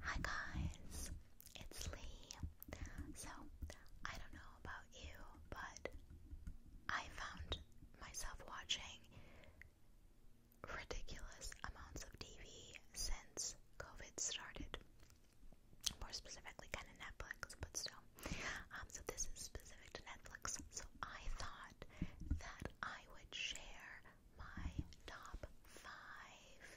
Hi guys, it's Lee. So, I don't know about you, but I found myself watching ridiculous amounts of TV since COVID started more specifically kind of Netflix, but still. Um, so this is specific to Netflix. So I thought that I would share my top five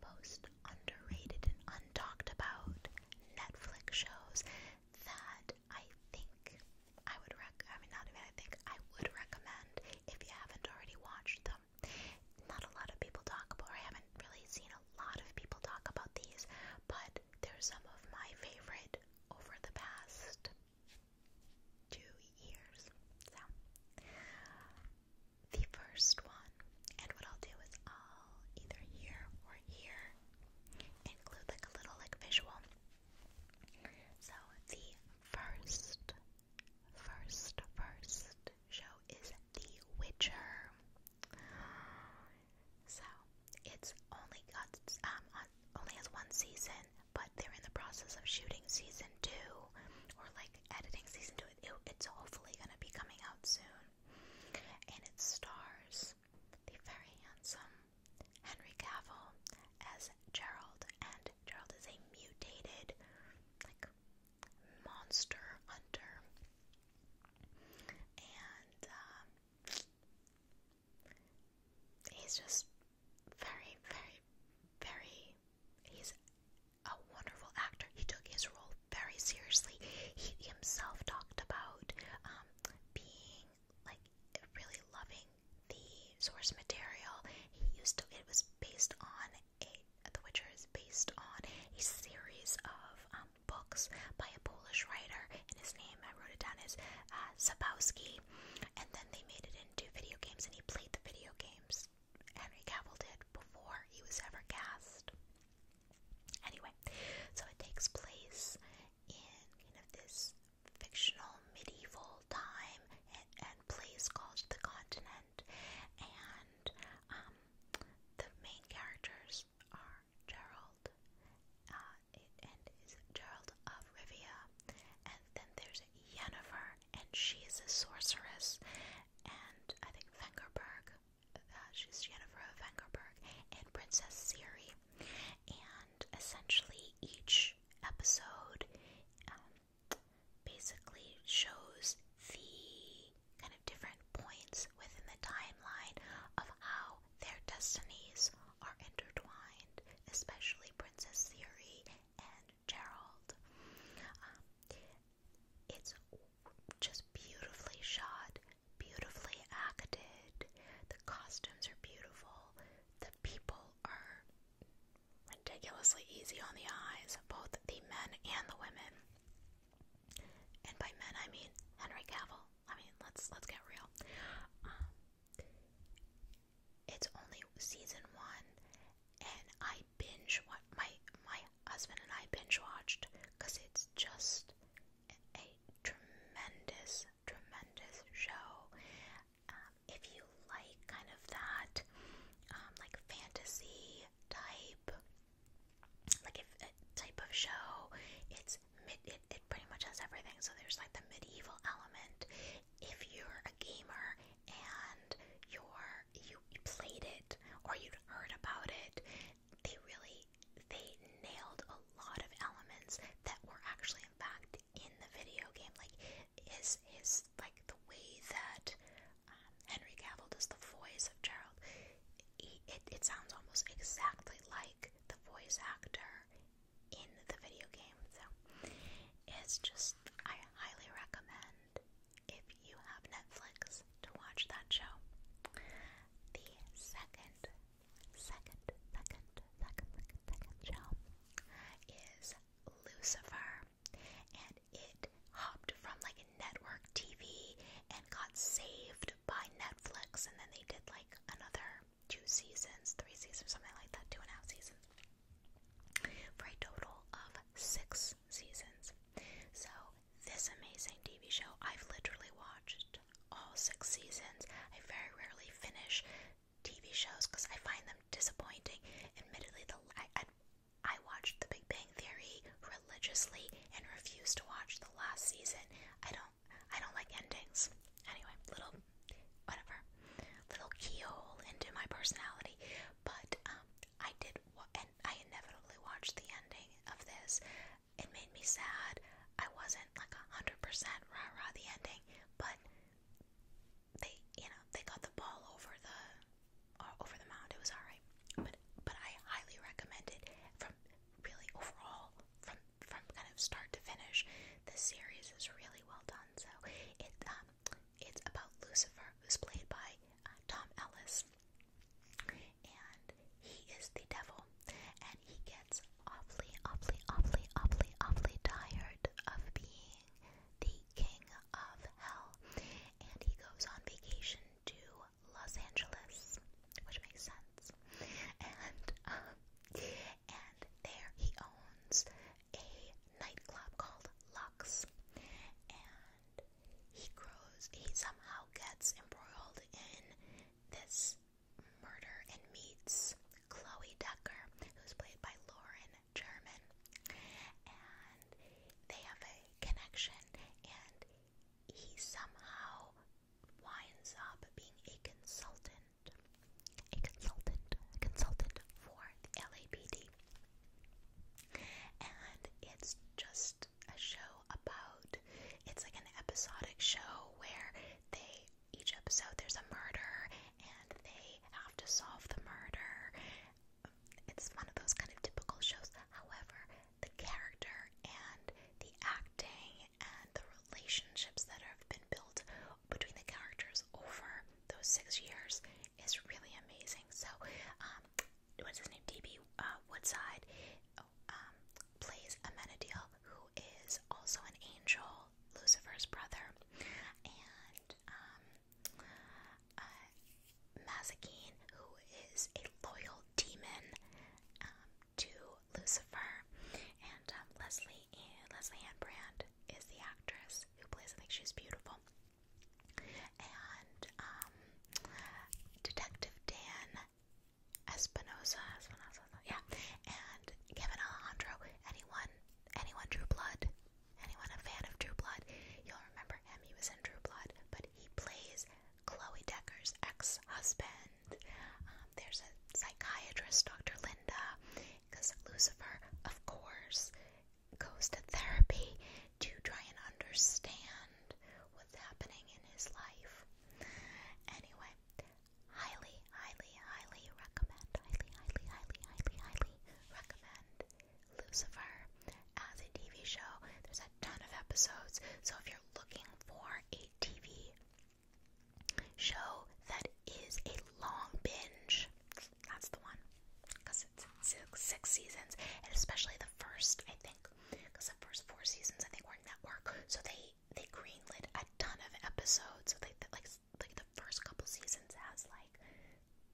most underrated and untalked about Netflix shows that I think I would rec I mean not even I think I would recommend if you haven't already watched them um, not a lot of people talk about, or I haven't really seen a lot of people talk about these, but they're some of my favorite over the past two years. So, the first one, and what I'll do is I'll either here or here include like a little like visual. So, the first, first, first show is The Witcher. So it's only got um only has one season, but they're in the process of shooting season two or like editing season two. it's hopefully gonna be coming out soon, and it stars the very handsome Henry Cavill as Gerald, and Gerald is a mutated, like Monster Hunter, and um, he's just very, very, very. He's a wonderful actor. He took his role very seriously. He himself talked about um, being like really loving the source material. He used to. It was based on a, eh, The Witcher is based on a series of um, books by a Polish writer, and his name I wrote it down is uh, Sapowski. And then they made it into video games, and he played the video games. Henry Cavill did before he was ever cast. Anyway, so it takes place in kind of this fictional medieval time and, and place called the Continent and um, the main characters are Gerald, uh, and is Gerald of Rivia, and then there's Yennefer, and she is a sorceress, and I think Vengerberg, uh, she's Yennefer of Vengerberg, and Princess Siri, and essentially each episode um, basically shows the kind of different points within the timeline of how their destinies are intertwined, especially Princess Theory and Gerald. Um, it's just beautifully shot, beautifully acted. The costumes are beautiful. The people are ridiculously easy on the eyes, both the men and the women. And by men, I mean Henry Cavill. I mean, let's let's get real. Um, it's only season one, and I binge my my husband and I binge watched because it's just a, tremendous, tremendous show. Um, if you like kind of that that um, like fantasy type, like if a uh, type of show. It's mid, it, it pretty much has everything. So there's like the medieval element. If you're a gamer and you're you, you played it or you'd heard about it, they really they nailed a lot of elements that were actually in fact in the video game. Like his his like the way that Henry Cavill does the voice of Gerald. it, it sounds almost exactly like the voice actor in the video game. So it's just, I highly recommend if you have Netflix to watch that show. The second, second, second, second, second, second show is Lucifer and it hopped from like a network TV and got saved by Netflix, and then they did like another two seasons, three seasons, something like that, two and a half seasons, for a total of six seasons. So this amazing TV show, I've literally watched all six seasons. I very rarely finish TV shows because I find them disappointing. Admittedly, the I watched The Big Bang Theory religiously and refused to watch the last season. I don't I don't like endings. Anyway, little whatever. Little keyhole into my personality. But um I did wa- and I inevitably watched the ending of this. It made me sad. I wasn't like a hundred percent rah rah the ending, but they you know, they got the ball over the uh, over the mound. It was alright, but but I highly recommend it. From really overall, from from kind of start to finish, this series is really well done. So it um, it's about Lucifer, who's played by uh, Tom Ellis, and he is the devil, and he gets awfully, awfully, awfully, awfully, awfully tired of being being the king of hell, and he goes on vacation to Los Angeles, which makes sense. And um, and there he owns a nightclub called Lux, and he grows. He somehow gets embroiled in this murder and meets Chloe Decker, who's played by Lauren German, and they have a connection, and he somehow winds up being a consultant, a consultant, a consultant for the LAPD. And it's just a show about, it's like an episodic show where they, each episode there's a murder and they have to solve the murder it's one of those kind of typical shows. However, the character and the acting and the relationships that have been built between the characters over those six years is really amazing. So, um, what's his name? DB uh, Woodside oh, um, plays Amenadiel, who is also an angel, Lucifer's brother, and um, uh, who is a loyal demon um, to Lucifer, and um, Leslie and eh, Leslie Ann Brand is the actress who plays. I think she's beautiful. And um, Detective Dan Espinosa, Espinosa, yeah, and Kevin Alejandro. Anyone, anyone, drew Blood anyone a fan of True Blood, you'll remember him. He was in True Blood, but he plays Chloe Decker's ex-husband. Um, there's a psychiatrist, Dr. Linda, because Lucifer, of course, goes to therapy to try and understand what's happening in his life. Anyway, highly, highly, highly recommend, highly, highly, highly, highly, highly recommend Lucifer as a TV show. There's a ton of episodes, so if you're looking for a TV show that is a long binge, that's the one. Because it's six, six seasons, and especially the first, I think, because the first four seasons I think were network, so they they greenlit a ton of episodes. So they, they like like the first couple seasons has like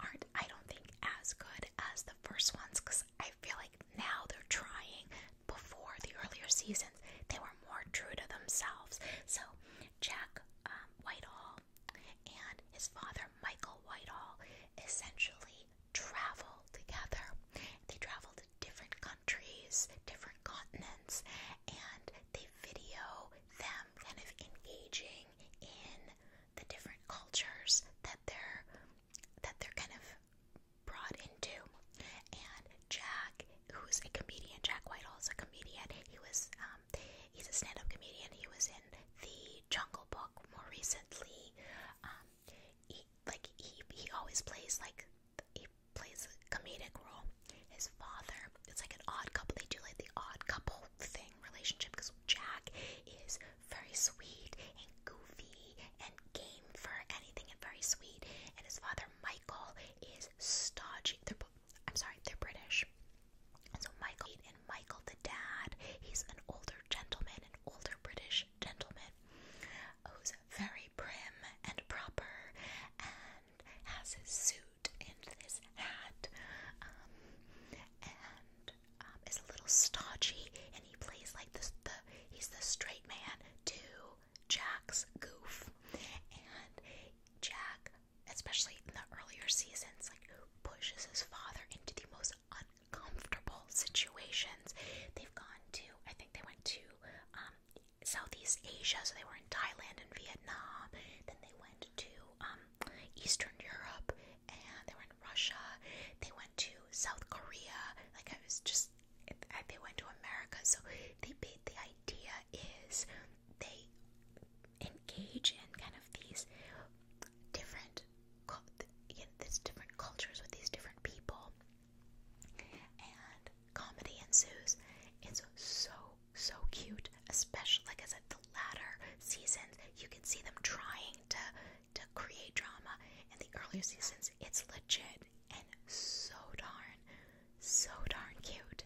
aren't, I don't think, as good as the first ones because I feel like now they're trying before the earlier seasons, they were more true to themselves. So, Jack um, Whitehall and his father, Michael Whitehall, essentially travel together. They travel to different countries, different continents, and they video them kind of engaging in the different cultures that they're that they're kind of brought into. And Jack, who's a comedian, Jack Whitehall is a comedian. He was um, he's a stand-up comedian. He was in the Jungle Book more recently. Um, he, like he he always plays like he plays a comedic role. His father, it's like an odd couple. They do like the odd couple thing relationship because Jack is very sweet and goofy and game for anything and very sweet, and his father Michael is stodgy. They're, I'm sorry, they're British. so Michael and Michael the dad, he's an older gentleman, an older British gentleman who's very prim and proper and has his suit and his hat. Um, and um, is a little stodgy, and he plays like this. The he's the straight man to Jack's goof, and Jack, especially in the earlier seasons, like pushes his father into the most uncomfortable situations. They've gone to, I think they went to um, Southeast Asia, so they were in Thailand and Vietnam. Then they went to um, Eastern Europe and they were in Russia. They went to South Korea. Like I was just, they went to America. So they the idea is they engage in kind of these different, you different cultures with these different people, and comedy ensues. It's so so cute, especially like I said, latter seasons, you can see them trying to to create drama. In the earlier seasons, it's legit and so darn, so darn cute.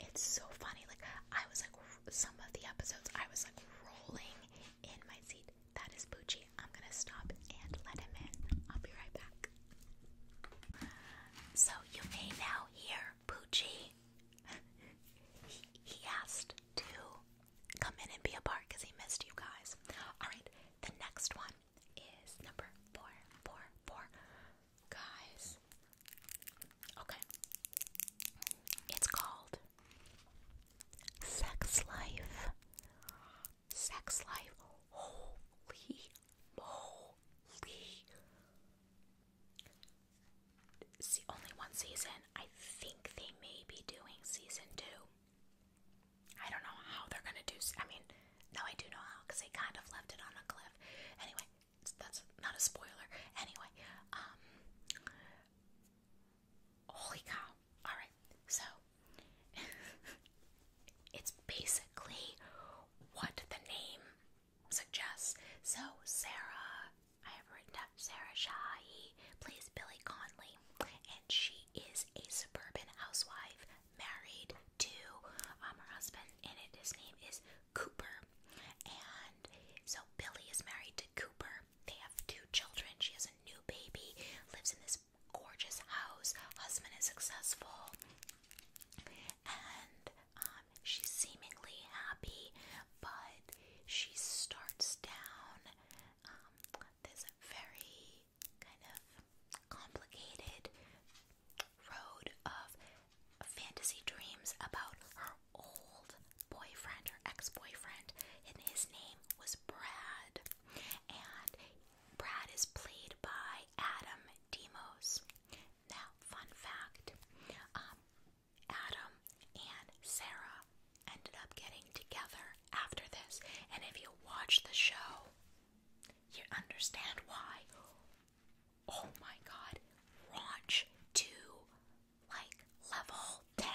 It's so funny. Like I was like, some of the episodes, I was like rolling in my seat. That is Poochie. I'm gonna stop and let him in. I'll be right back. So you may now hear Poochie, he, asked to come in and be a part because he missed you guys. Alright, the next one is number four, four, four. Guys, okay. It's called Sex Life. Sex Life. Holy moly see only one season. I think they may be doing season two. I don't know how they're gonna do. I mean, no, I do know how because they kind of left it on a cliff. Anyway, that's not a spoiler. Anyway, um, holy cow! All right, so it's basically what the name suggests. So Sarah I have written down Sarah Shahi plays Billy Conley, and she is a suburban housewife married to um, her husband, and his name is Cooper. And so Billy is married to Cooper. They have two children. She has a new baby, lives in this gorgeous house. Husband is successful, and um, she's seemingly happy, but she starts down um, this very kind of complicated road of fantasy dreams about her old boyfriend, her ex boyfriend, and his name was Brad. And Brad is played by Adam Demos. Now, fun fact um, Adam and Sarah ended up getting together after this. And if you watch the show, you understand why. Oh my god, Raunch to like level 10.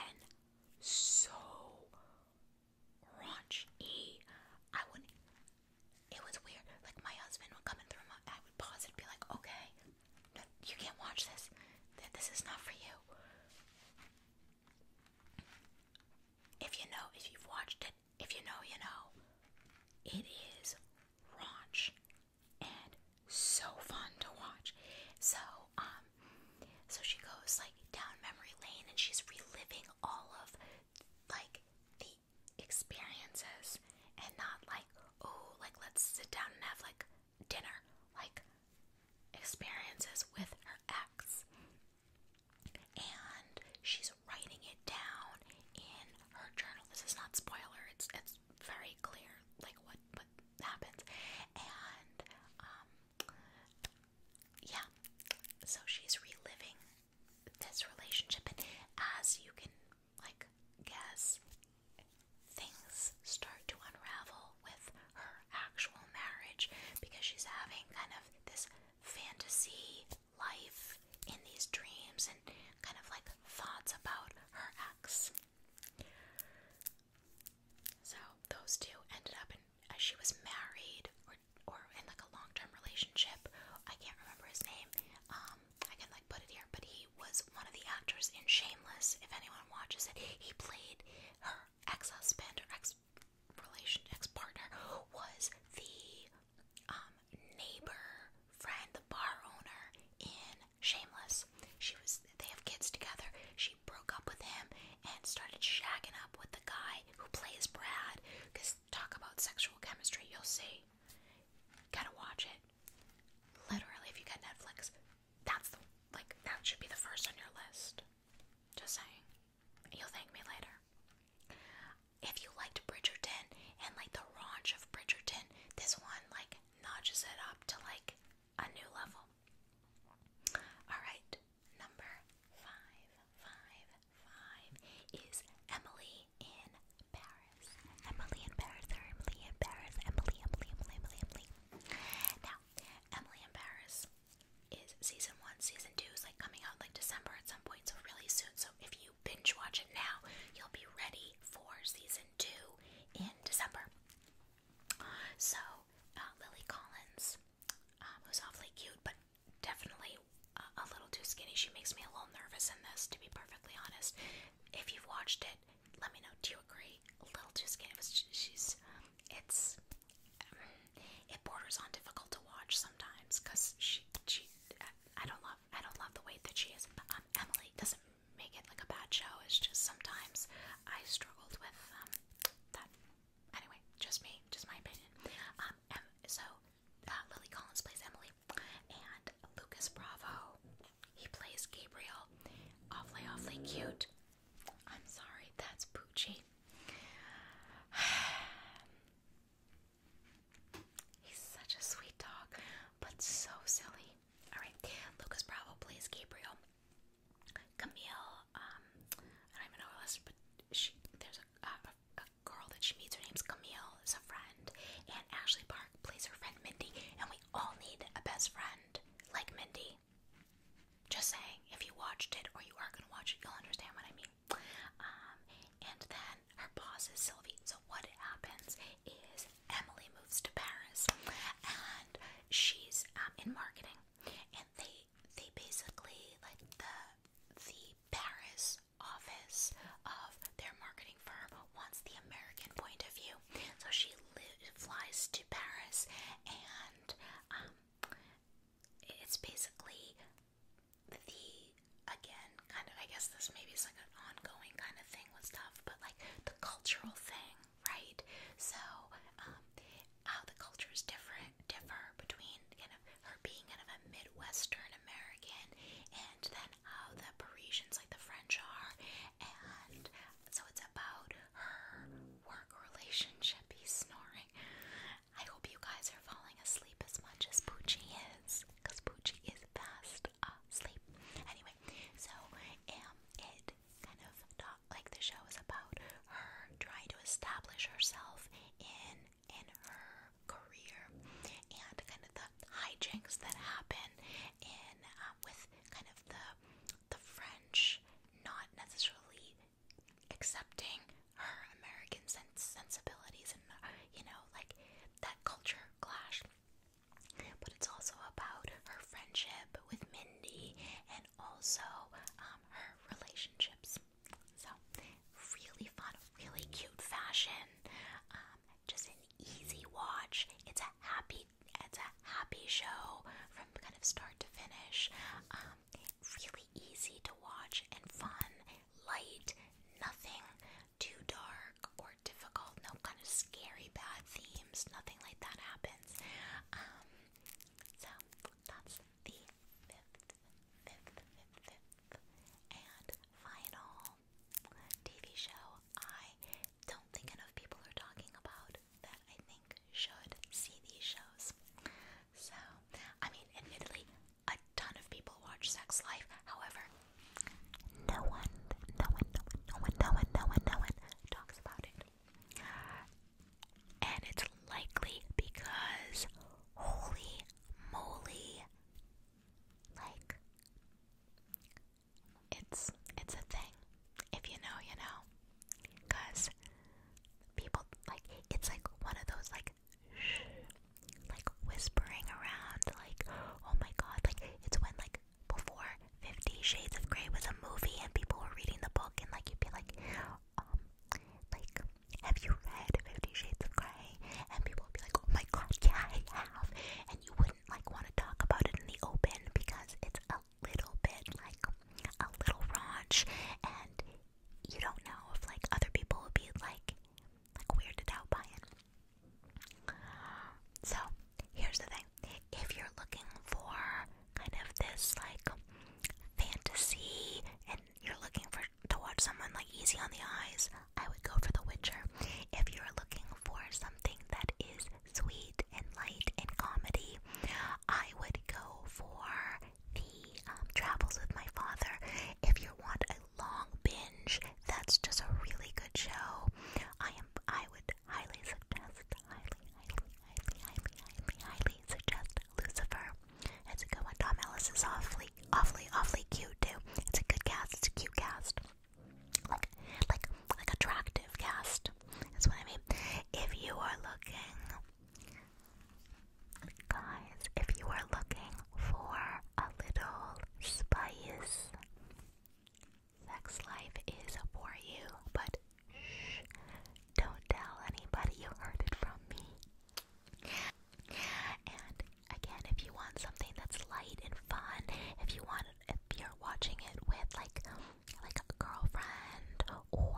So raunchy. I would, it was weird. Like my husband would come through I would pause and be like, okay, you can't watch this. This is not for you. If you know, if you've watched it, if you know, you know. It is raunch and so fun to watch. So, um, so she goes like down memory lane and she's reliving all of like the experiences and not like, oh, like let's sit down and have like dinner, like experiences with her ex. And she's writing it down in her journal. This is not spoiler, it's it's very clear like what what happens. And um yeah. So she's reliving this relationship and as you can like guess, things start to unravel with her actual marriage because she's having kind of this fantasy life in these dreams and kind of like thoughts about her ex. So those two ended up in as she was married or or in like a long-term relationship. I can't remember his name. Um, um, I can like put it here, but he was one of the actors in Shameless. If anyone watches it, he played her ex-husband or ex-relation, ex-partner was the um, neighbor, friend, the bar owner in Shameless. She was. They have kids together. She broke up with him and started shagging up with the guy who plays Brad. Cause talk about sexual chemistry, you'll see. Gotta watch it. Literally, if you get Netflix, that's like that should be the first on your list. Just saying. You'll thank me later. If you liked Bridgerton and like the raunch of Bridgerton, this one like notches it up to like a new level. Alright, number five, five, five is Emily in Paris. Emily in Paris Emily in Paris. Emily, Emily, Emily, Emily, Now, Emily in Paris is season one. Season two is like coming out like December at some point, so really soon. So if you binge watch it now, you'll be ready for season two in December. So uh, Lily Collins, um, who's awfully cute, but definitely a little too skinny. She makes me a little nervous in this, to be perfectly honest if you've watched it, let me know. Do you agree? A little too skinny. It she's, it's, um, it borders on difficult to watch sometimes because she, she, I don't love, I don't love the weight that she is. Um, Emily doesn't make it like a bad show. It's just sometimes I struggled with um, that. Anyway, just me, just my opinion. Um, so uh, Lily Collins plays Emily. And Lucas Bravo, he plays Gabriel. Awfully, awfully cute. I'm sorry, that's Poochie. He's such a sweet dog, but so silly. Alright, Lucas Bravo plays Gabriel. Camille, um, I don't even know her list, but there's a, girl that she meets. Her name's Camille, is a friend, and Ashley Barnes Please, her friend Mindy, and we all need a best friend like Mindy. Just saying, if you watched it or you are gonna watch it, you'll understand what I mean. Um, and then her boss is Sylvie. So what happens is Emily moves to Paris, and she's um, in marketing, and they they basically like the the Paris office their marketing firm wants the American point of view. So she flies to Paris, and um, it's basically the again kind of I guess this maybe is like an ongoing kind of thing with stuff, but like the cultural thing, right? So um, how the cultures different differ between kind of her being kind of a Midwestern American and then how the Parisians, like the French, are. And so it's about her work relationship. He's snoring. I hope you guys are falling asleep as much as Poochie is, because Poochie is fast asleep. Anyway, so um, it kind of like the show is about her trying to establish herself in in her career and kind of the hijinks that happen in um, with kind of the the French not necessarily accepting her American sensibilities and you know like that culture clash. But it's also about her friendship with Mindy and also um, her relationships. So really fun, really cute fashion. Um, just an easy watch. It's a happy, it's a happy show from kind of start to finish. Um, really easy to watch and fun, light, nothing too dark or difficult. No kind of scary bad themes. Nothing like that happens. Um, so that's the fifth, fifth, fifth, fifth, and final TV show I don't think enough people are talking about that I think should see these shows. So, I mean, admittedly, a ton of people watch Sex Life. However, no one, no one, no one, no one, no one, no one, no one talks about it. And it's likely because, holy moly, like, it's it's a thing. If you know, you know. Cause people like it's like one of those like shh, like whispering around like oh my god like it's when like before Fifty Shades of Grey was a movie and people were reading the book and like you'd be like um like have you read Fifty Shades of Grey and people would be like oh my god yeah I have and you wouldn't like want to talk about it in the open because it's a little bit like a little raunch and you don't know if like other people will be like like weirded out by it. So here's the thing. If you're looking for kind of this like fantasy and you're looking for to watch someone like easy on the eyes, I would go for The Witcher. If you're looking for something that is sweet and light and comedy, I would go for the um, Travels with My Father. If you want a long binge, that's just a really good show. I am. I would highly suggest. Highly, highly, highly, highly, highly, highly suggest Lucifer. It's a good one. Tom Ellis is awfully, awfully, awfully cute too. It's a good cast. It's a cute cast like like like attractive cast. That's what I mean. If you are looking, guys, if you are looking for a little spice, sex life is for you. But shh, don't tell anybody you heard it from me. And again, if you want something that's light and fun, if you want, if you're watching it with like, like a girlfriend or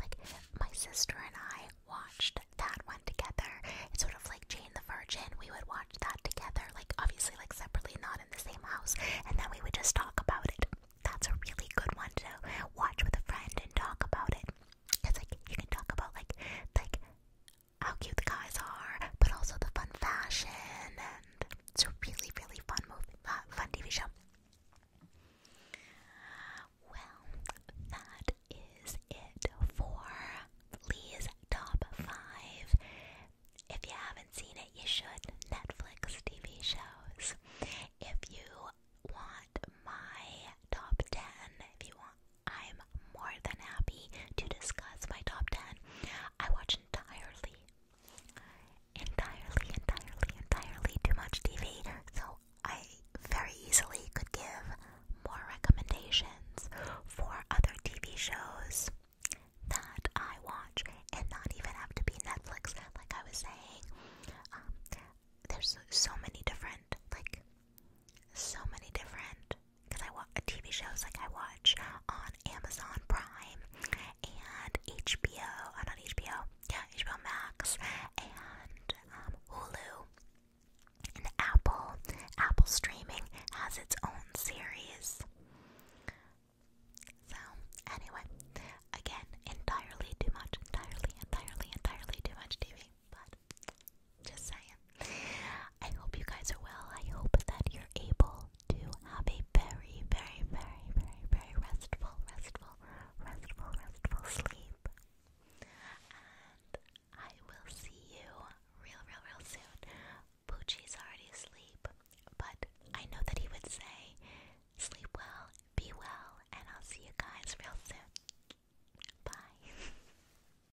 like my sister and I watched that one together. It's sort of like Jane the Virgin. We would watch that together, like obviously like separately, not in the same house, and then we would just talk about it. That's a really good one to watch with a friend and talk about it. It's like you can talk about like like how cute the guys are, but also the fun fashion, and it's a really, really fun movie, uh, fun TV show. Well, that is it for Lee's top five. If you haven't seen it, you should. Netflix TV shows. If you want my top ten, if you want I'm more than happy to discuss my top 10. I watch entirely, entirely, entirely, entirely too much TV, so I very easily could give more recommendations for other TV shows that I watch and not even have to be Netflix, like I was saying. Um, there's so many different, like, so many different because I watch TV shows like I watch on Amazon Prime and HBO, and uh, on HBO, yeah, HBO Max and um, Hulu and Apple. Apple Streaming has its own series. So, anyway, again, entirely too much, entirely, entirely, entirely too much TV. But just saying. I hope you guys are well. I hope that you're able to have a very, very, very, very, very restful, restful, restful, restful sleep. And I will see you real, real, real soon. Poochie's already asleep, but I know that he would say, sleep well, be well, and I'll see you guys real soon. Bye.